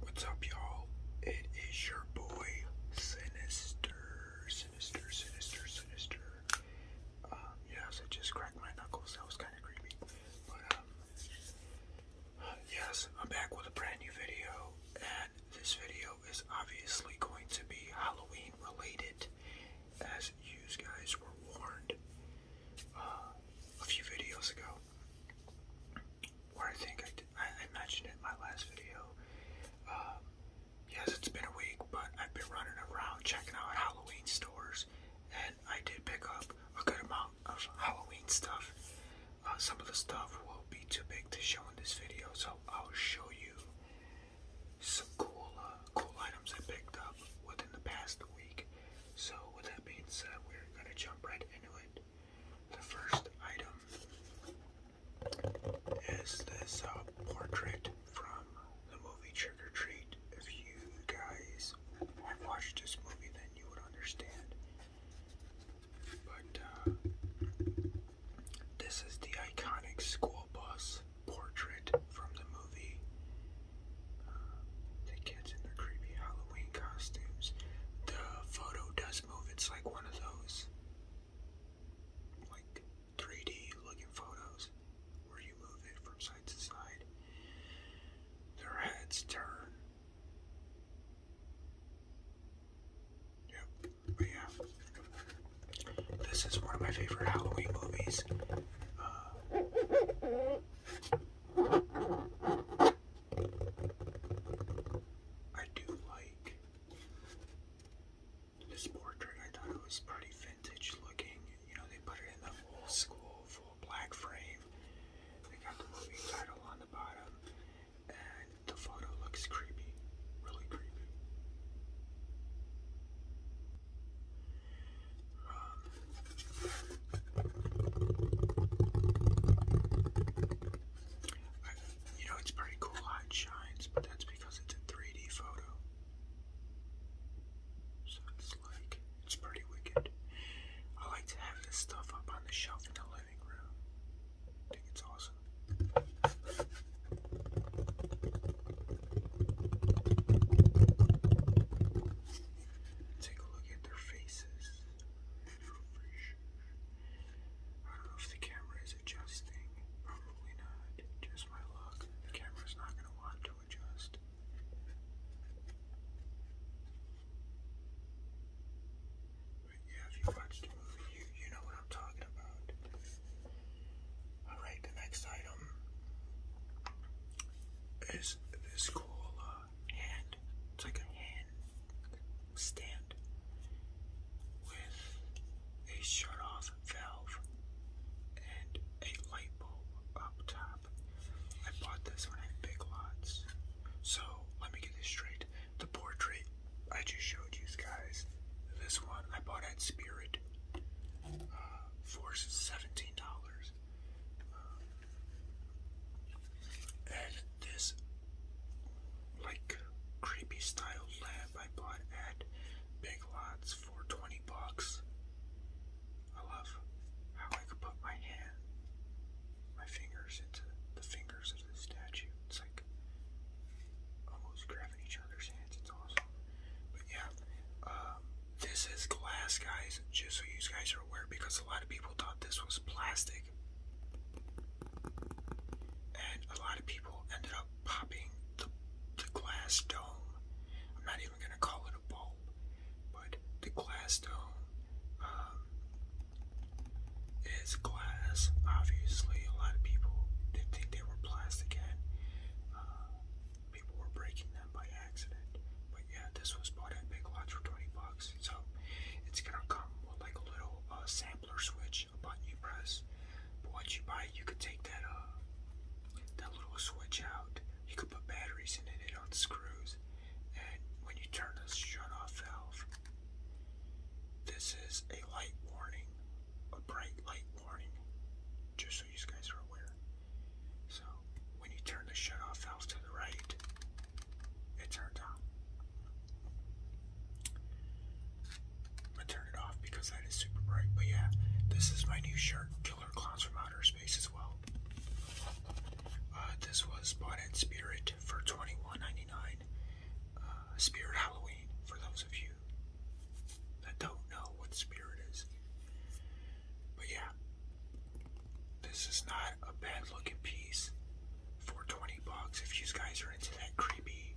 What's up, y'all? It is your boy, Sinister, Sinister, Sinister, Sinister. Um, yes, I just cracked my knuckles. That was kind of creepy. But, um, yes, I'm back with a brand new video. And this video is obviously going to be Halloween related, as you guys were warned uh, a few videos ago where I think I, did, I, mentioned it my last video. Um, yes, it's been a week, but I've been running around checking out Halloween stores, and I did pick up a good amount of Halloween stuff. Uh, some of the stuff will be too big to show in this video, so I'll show you some cool, uh, cool items I picked up within the past week. So with that being said, we're gonna jump right into it. The first item is this uh, portrait from the movie Trick or Treat. If you guys have watched this movie, then you would understand. But uh, this is the iconic school bus portrait from the movie the kids in their creepy Halloween costumes. The photo does move. It's like one of those like 3D looking photos where you move it from side to side. Their heads turn. Yep, but yeah. This is one of my favorite Halloween movies. Uh, I do like this portrait. I thought it was pretty vintage looking. You know, they put it in the old school full black frame. They got the movie title on the bottom, and the photo looks creepy, really creepy. I, you know, it's pretty cool how it shines, but that's because it's a 3D photo. So it's like, it's pretty wicked. I like to have this stuff up on the shelf in the living room. think it's awesome. Take a look at their faces. I don't know if the camera is adjusting. Probably not. Just my luck. The camera's not going to want to adjust. yeah, if you watched the movie, you, you know what I'm talking about. Alright, the next item is this cool uh, hand. It's like a hand stand with a shut-off valve and a light bulb up top. I bought this one at Big Lots. So let me get this straight. The portrait I just showed you guys, this one I bought at Spirit uh, for $17. Um, and this like creepy style lamp I bought at Big Lots for 20 bucks. I love how I could put my hand, my fingers into the fingers of the statue. It's like almost grabbing each other's hands. It's awesome. But yeah, um, this is glass, guys, just so you guys are aware, because a lot of people thought this was plastic. And a lot of people ended up popping the, the glass dome. I'm not even going to call it a bulb, but the glass dome um, is glass. Obviously, a lot of people did think they were plastic, people were breaking them by accident. But yeah, this was bought at Big Lots for 20 bucks. So it's gonna come with like a little uh, sampler switch, a button you press. But once you buy it, you could take that uh that little switch out. You could put batteries in it, it unscrews. And when you turn the shut off valve, this is a light warning, a bright light warning. Just you guys are aware. So when you turn the shutoff valve to the right, it turned on. I'm gonna turn it off because that is super bright. But yeah, this is my new shirt, Killer Clowns from Outer Space as well. Uh, this was bought at Spirit for twenty one ninety nine. dollars uh, Spirit Halloween, for those of you that don't know what Spirit is. But yeah, this is not a bad looking piece for 20 bucks if you guys are into that creepy,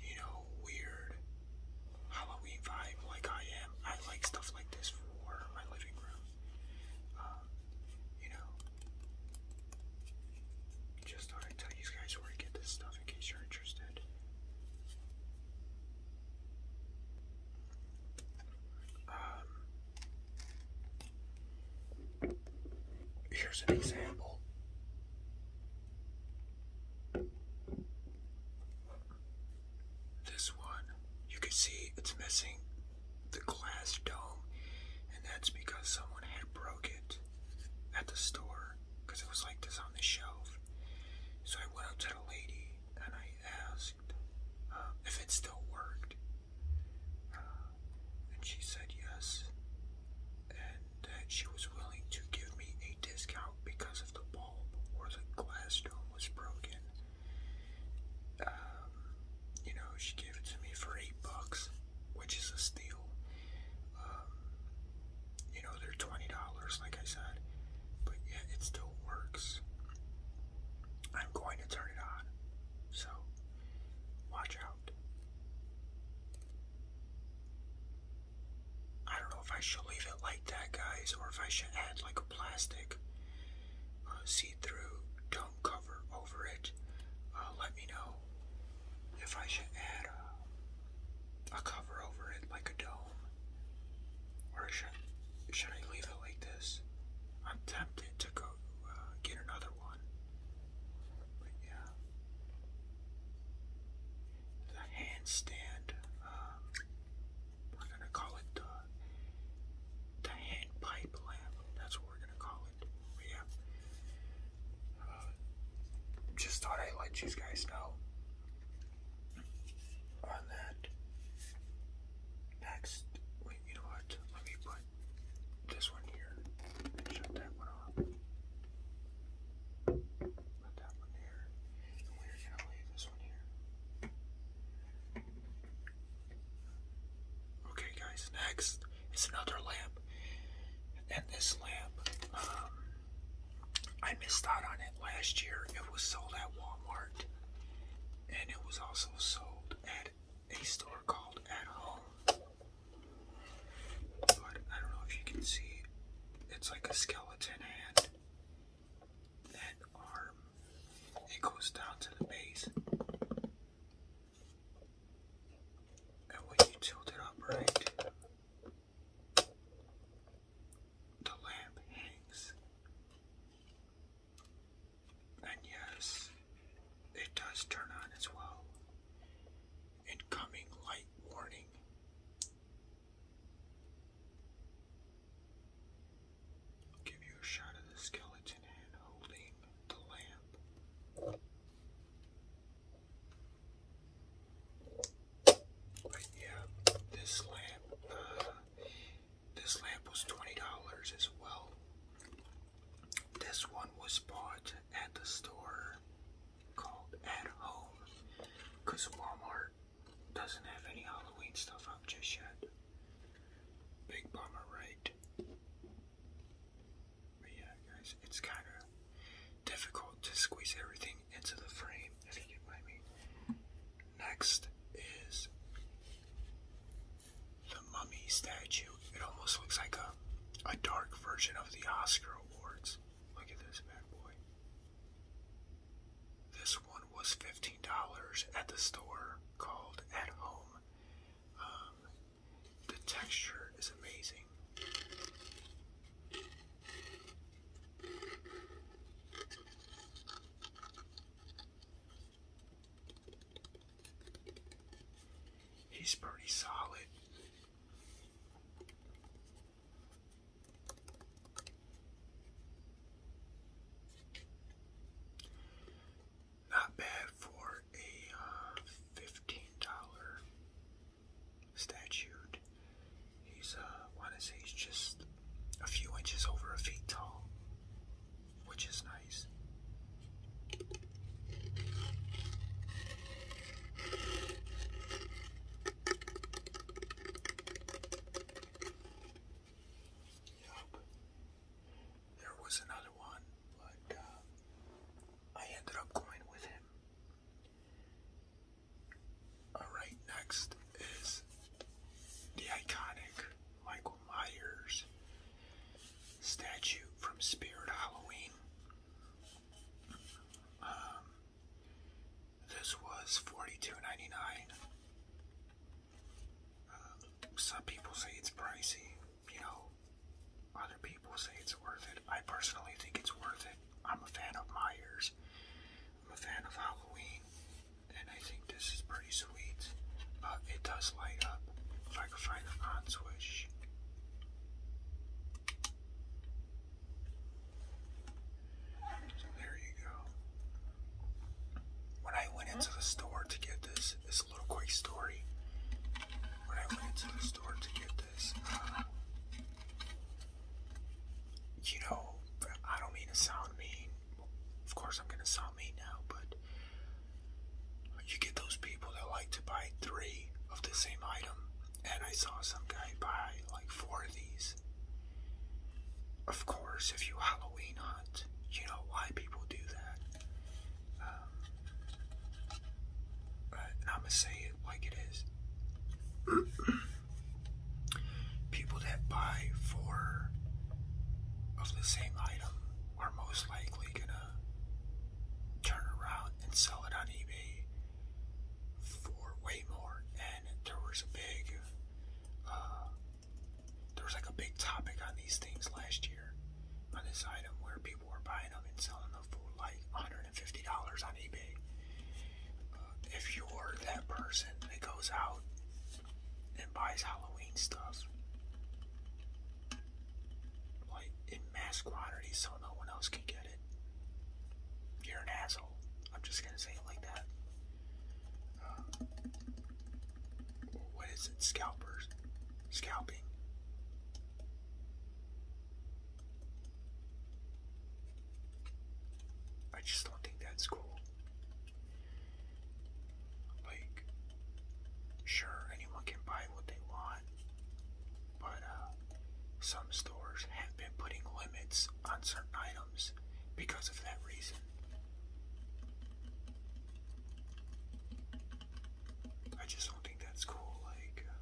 you know, weird Halloween vibe like I am. I like stuff like this for my living room. Um, you know, just thought I'd tell you guys where to get this stuff in case you're interested. Um, here's an example. This one, you can see it's missing the glass dome, and that's because someone had broke it at the store because it was like this on the shelf. So I went up to the lady and I asked uh, if it still worked. Uh, and she said yes, and uh, she was willing to give me a discount because of the bulb or the glass dome was broken. Um, you know, she gave it to me for eight bucks, which is a steal. Um, you know, they're twenty dollars, like I said. But yeah, it still works. I'm going to turn it on. So, watch out. I don't know if I should leave it like that, guys, or if I should add like a plastic uh, see through dome cover over it. Uh, let me know if I should add a cover over it, like a dome. Or should, should I leave it like this? I'm tempted to go uh, get another one. But yeah. The handstand, um, we're gonna call it the, the hand pipe lamp. That's what we're gonna call it. yeah. Uh, just thought I'd let you guys know on that. Next, wait, you know what? Let me put this one here and that one off. Put that one there. And we're going to leave this one here. Okay, guys, next is another lamp. And this lamp, um, I missed out on it last year. It was sold at Walmart and it was also sold at a store called At Home. But I don't know if you can see, it's like a skeleton hand and arm. It goes down to the base. And when you tilt it up right, the lamp hangs. And yes, it does turn on as well. Incoming light warning. give you a shot of the skeleton hand holding the lamp. But yeah, this lamp, uh, this lamp was twenty dollars as well. This one was bought at the store called At Home, cause Walmart doesn't have any Halloween stuff out just yet. Big bummer, right? But yeah, guys, it's kind of difficult to squeeze everything into the frame, if you get what I Next is the mummy statue. It almost looks like a, a dark version of the Oscar Awards. Look at this bad boy. This one was $15 at the store called At Home. Um, the texture is amazing. He's pretty solid. Not bad for a uh, $15 statured. He's, uh, I want to he's just a few inches over a feet tall, which is nice. Yep. There was another one, but uh, I ended up going with him. Alright, next is the iconic Michael Myers statue from Spirit Halloween. Um, this was 42 um, some people say it's pricey, you know, other people say it's worth it. I personally think it's worth it. I'm a fan of Myers. I'm a fan of Halloween, and I think this is pretty sweet. But it does light up. If I can find it on switch. So there you go. When I went into the store to get this, this little quick story. When I went into the store to get you know, I don't mean to sound mean. Of course, I'm gonna sound mean now, but you get those people that like to buy three of the same item, and I saw some guy buy like four of these. Of course, if you Halloween hunt, you know why people do that. Um, I'm gonna say it like it is. People that buy four of the same item are most likely gonna turn around and sell it on eBay for way more. And there was a big, uh, there was like a big topic on these things last year on this item where people were buying them and selling them for like $150 Fifty dollars on eBay. Uh, if you're that person that goes out and buys Halloween stuff, like in mass quantities so no one else can get it, you're an asshole. I'm just gonna say it like that. Uh, what is it? Scalpers. Scalping. I just don't think that's cool. Like, sure, anyone can buy what they want, but uh, some stores have been putting limits on certain items because of that reason. I just don't think that's cool. Like, uh,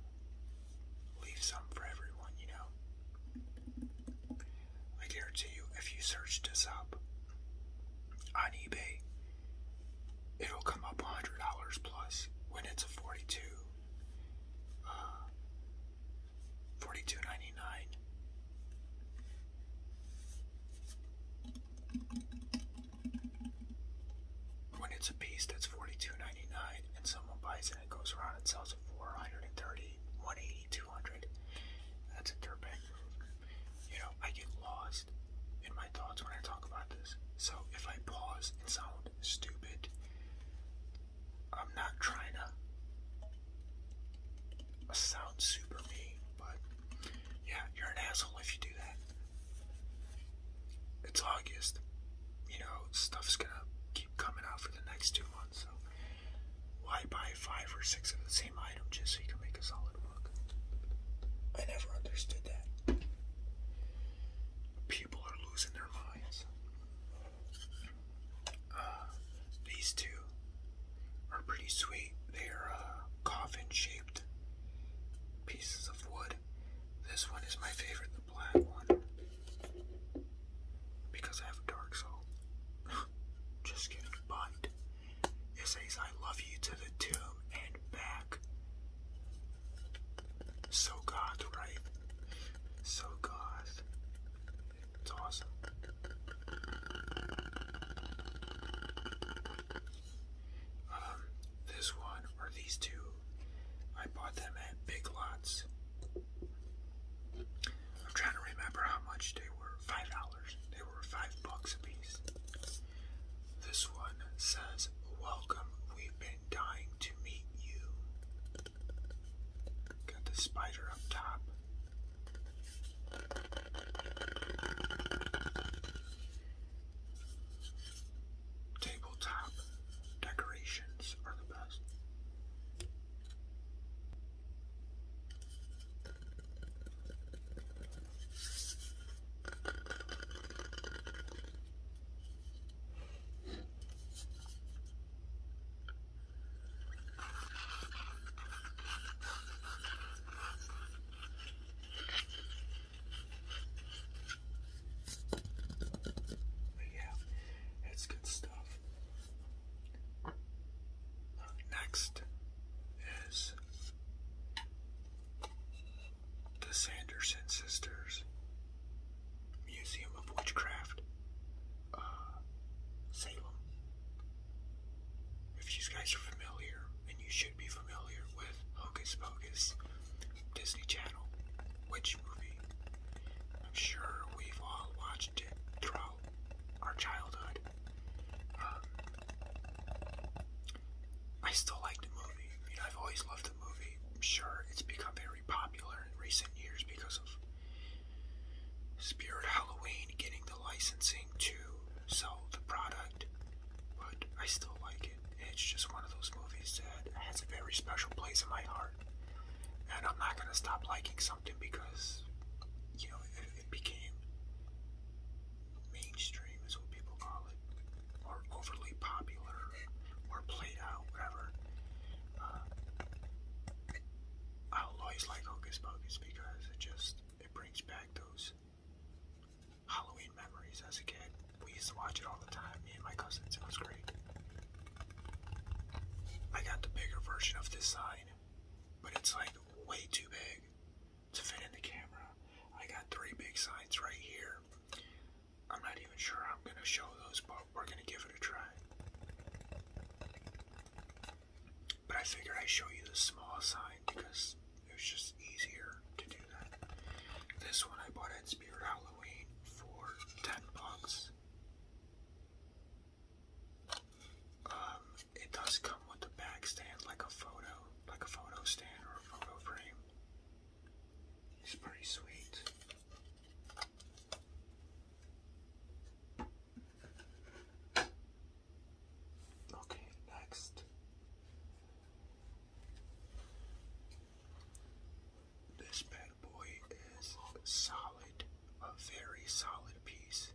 leave some for everyone, you know. I guarantee you, if you search this up on eBay, it'll come up $100 plus when it's a 42 uh, 42.99 when it's a piece that's 42.99 and someone buys it it goes around and sells for 130, 180, 200. That's a dirtbag move. You know, I get lost in my thoughts when I talk about this. So if I pause and sound stupid, I'm not trying to sound super mean, but yeah, you're an asshole if you do that. It's August you know, stuff's gonna keep coming out for the next two months. So why buy five or six of the same item just so you can make a solid book? I never understood that. People are losing their minds. Uh, these two are pretty sweet. They are uh, coffin shaped pieces of wood. This one is my favorite, black one because I have a dark soul. Just kidding, but it says I love you to the tomb and back. So God, right? So God. It's awesome. Um, this one or these two. I bought them at Big Lots. I'm trying to remember how much they were. Five dollars. They were five bucks a piece. This one says, Welcome, we've been dying to meet you. Got the spider up top. Tabletop decorations are the best. But yeah, it's good stuff. next is the Sanderson Sisters Museum of Witchcraft, uh, Salem. If you guys are familiar, and you should be familiar with Hocus Pocus, Disney Channel. Which movie? I'm sure we've all watched it throughout our childhood. Um, I still like the movie. I I've always loved the movie. I'm sure it's become very popular in recent years because of Spirit Halloween getting the licensing to sell the product, but I still like it. It's just one of those movies that has a very special place in my heart. And I'm not going to stop liking something because, you know, it, became mainstream, is what people call it, or overly popular, or played out, whatever. Uh, I'll always like Hocus Pocus because it just it brings back those Halloween memories as a kid. We used to watch it all the time, me and my cousins. It was great. I got the bigger version of this sign, but it's like way too big to fit in the camera. I got three big signs right here. I'm not even sure I'm going to show those, but we're going to give it a try. But I figured I'd show you the small sign because it was just easier to do. This one I bought at Spirit Halloween for 10 bucks. Um, it does come with a back stand, like a photo, like a photo stand or a photo frame. It's pretty sweet. Okay, next. This bad boy is solid, a very solid piece.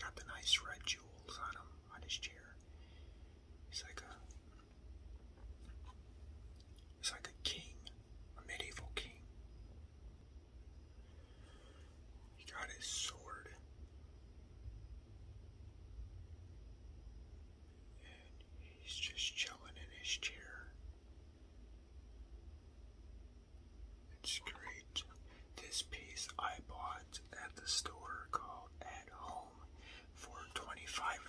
Got the nice red jewels on him, on his chair. He's like a, he's like a king, a medieval king. He got his sword he's just chilling in his chair. It's great. This piece I bought at the store called At Home for $25.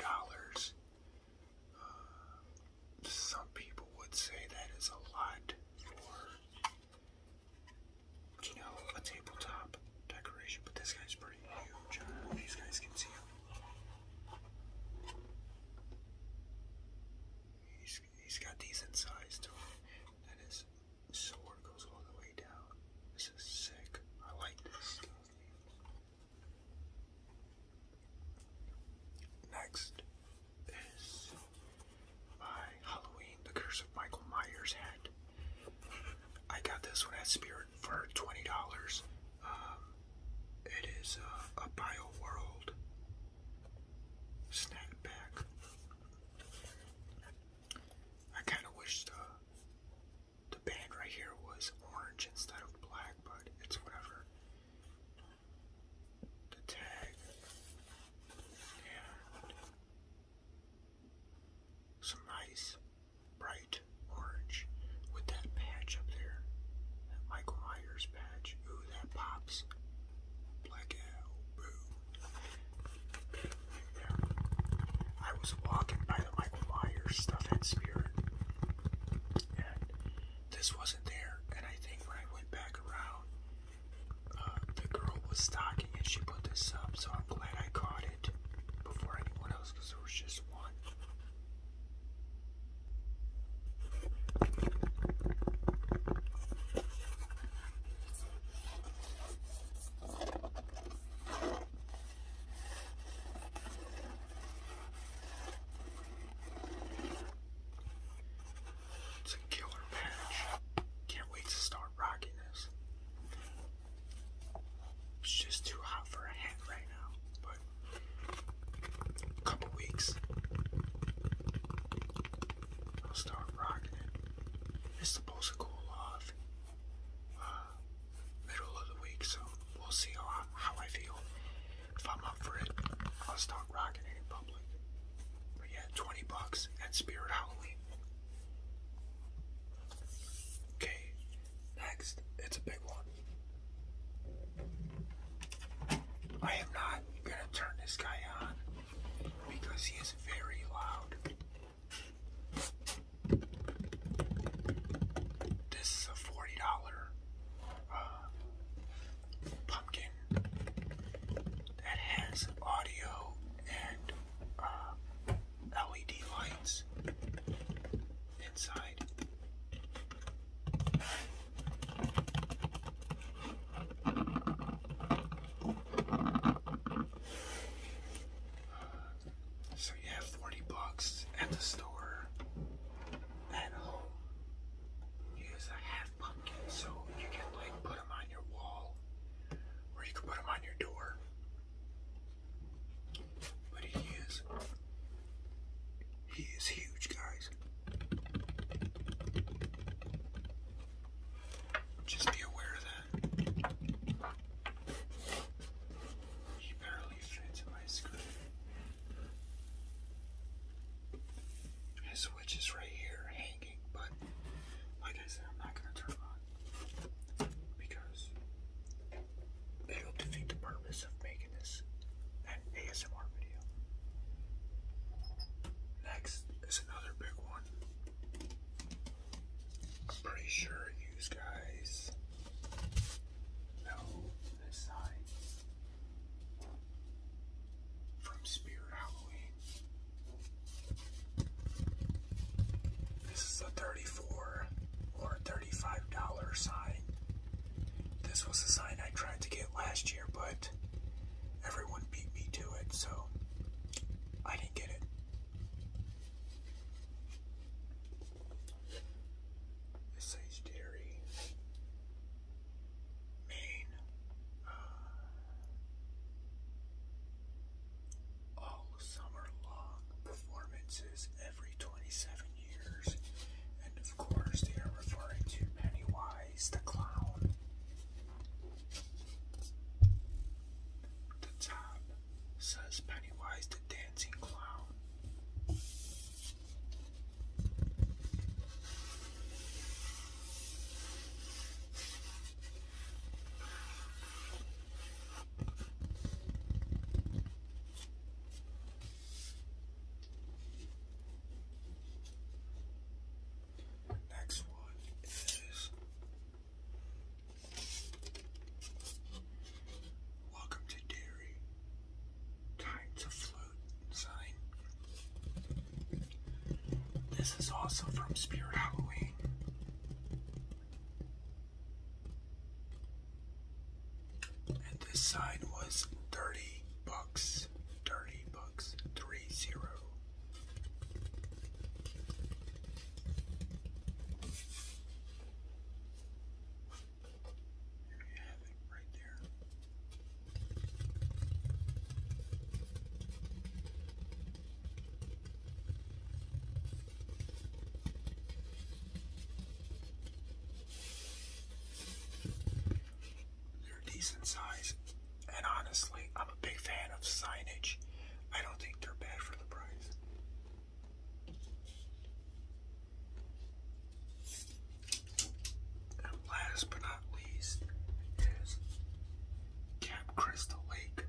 Uh, some people would say that is a lot for, you know, a tabletop decoration, but this guy's pretty huge. these guys can see him. He's, he's got decent size to him. Then his sword goes all the way down. This is sick. I like this Next is my Halloween, the Curse of Michael Myers head. I got this one at Spirit for twenty dollars. Um, it is uh, a Bio World snack pack. I kind of wish the the band right here was orange instead of black, but it's whatever. The tag and some nice bright orange with that patch up there. That Michael Myers patch. Ooh, that pops. Blackout. Boo. Yeah. I was walking by the Michael Myers stuff at Spirit. And this wasn't there. And I think when I went back around, uh, the girl was stocking and she put this up. So I'm glad I caught it before anyone else because there was just one. It's a killer patch. Can't wait to start rocking it's just too hot for a hat right now, but a couple weeks I'll start rocking it. It's supposed to cool off uh, middle of the week, so we'll see how I, how I feel. If I'm up for it, I'll start rocking it in public. But yeah, 20 bucks at Spirit Halloween. Okay, Next, it's a big one. I am not gonna turn this guy on because he is very loud. This is a forty dollar uh, pumpkin that has audio and uh, LED lights inside. So you have 40 bucks at the store. At home, use a half pumpkin, so you can like put them on your wall, or you can put them on your door. But he is. He is huge, guys. Just be aware of that. He barely fits my screen. His switch is right here hanging, but like I said, I'm not going to turn on because it'll defeat the purpose of making this an ASMR video. Next is another big one. I'm pretty sure you guys know this sign from Spirit Halloween. This is a 34 or $35 sign. This was a sign I tried to get last year, but everyone beat me to it, so I didn't get it. It says dairy, Maine, uh, all oh, summer long performances every 27 years. And of course, they are referring to Pennywise the Clown. The top says Pennywise the Dancing Clown. Next one is Welcome to Dairy. Time to float sign. This is also from Spirit Halloween. And this side was 30 bucks. 30 bucks. 3 0. There you have it right there. They're decent size, and honestly, I'm a big fan of signage. I don't think they're bad for the price. And last but not least is Camp Crystal Lake.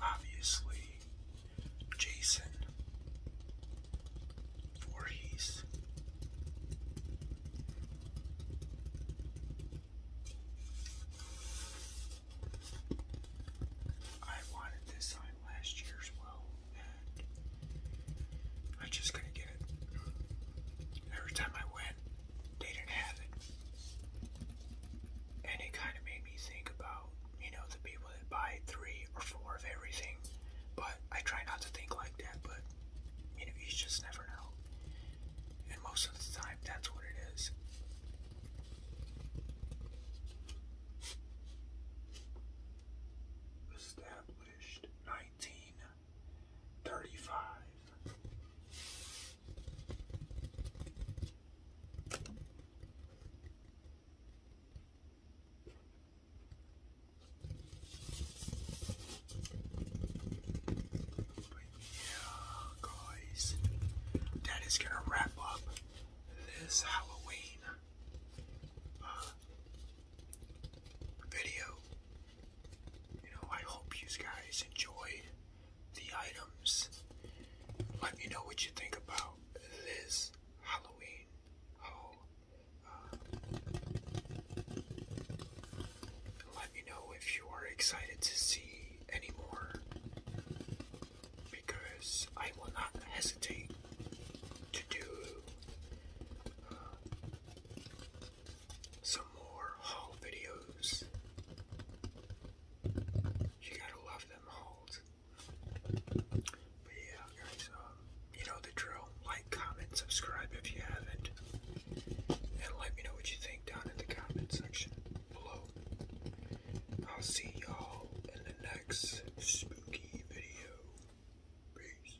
Obviously, Jason Voorhees. I wanted this sign last year as well, and I just couldn't get it. Every time I went, they didn't have it. And it kind of made me think about, you know, the people that buy three or four of everything. But I try not to think like that, but, you know, you just never know. And most of the time, that's what it is. Established 19 35. yeah, guys, that is gonna wrap up this Halloween uh, video you know, I hope you guys enjoyed the items. Let me know what you think about this Halloween haul. Oh, uh, let me know if you are excited to see any more, because I will not hesitate to do uh, some more haul videos. You gotta love them hauls. But yeah, guys, um, you know the drill. Like, comment, subscribe if you haven't. And let me know what you think down in the comment section below. I'll see y'all in the next spooky video. Peace.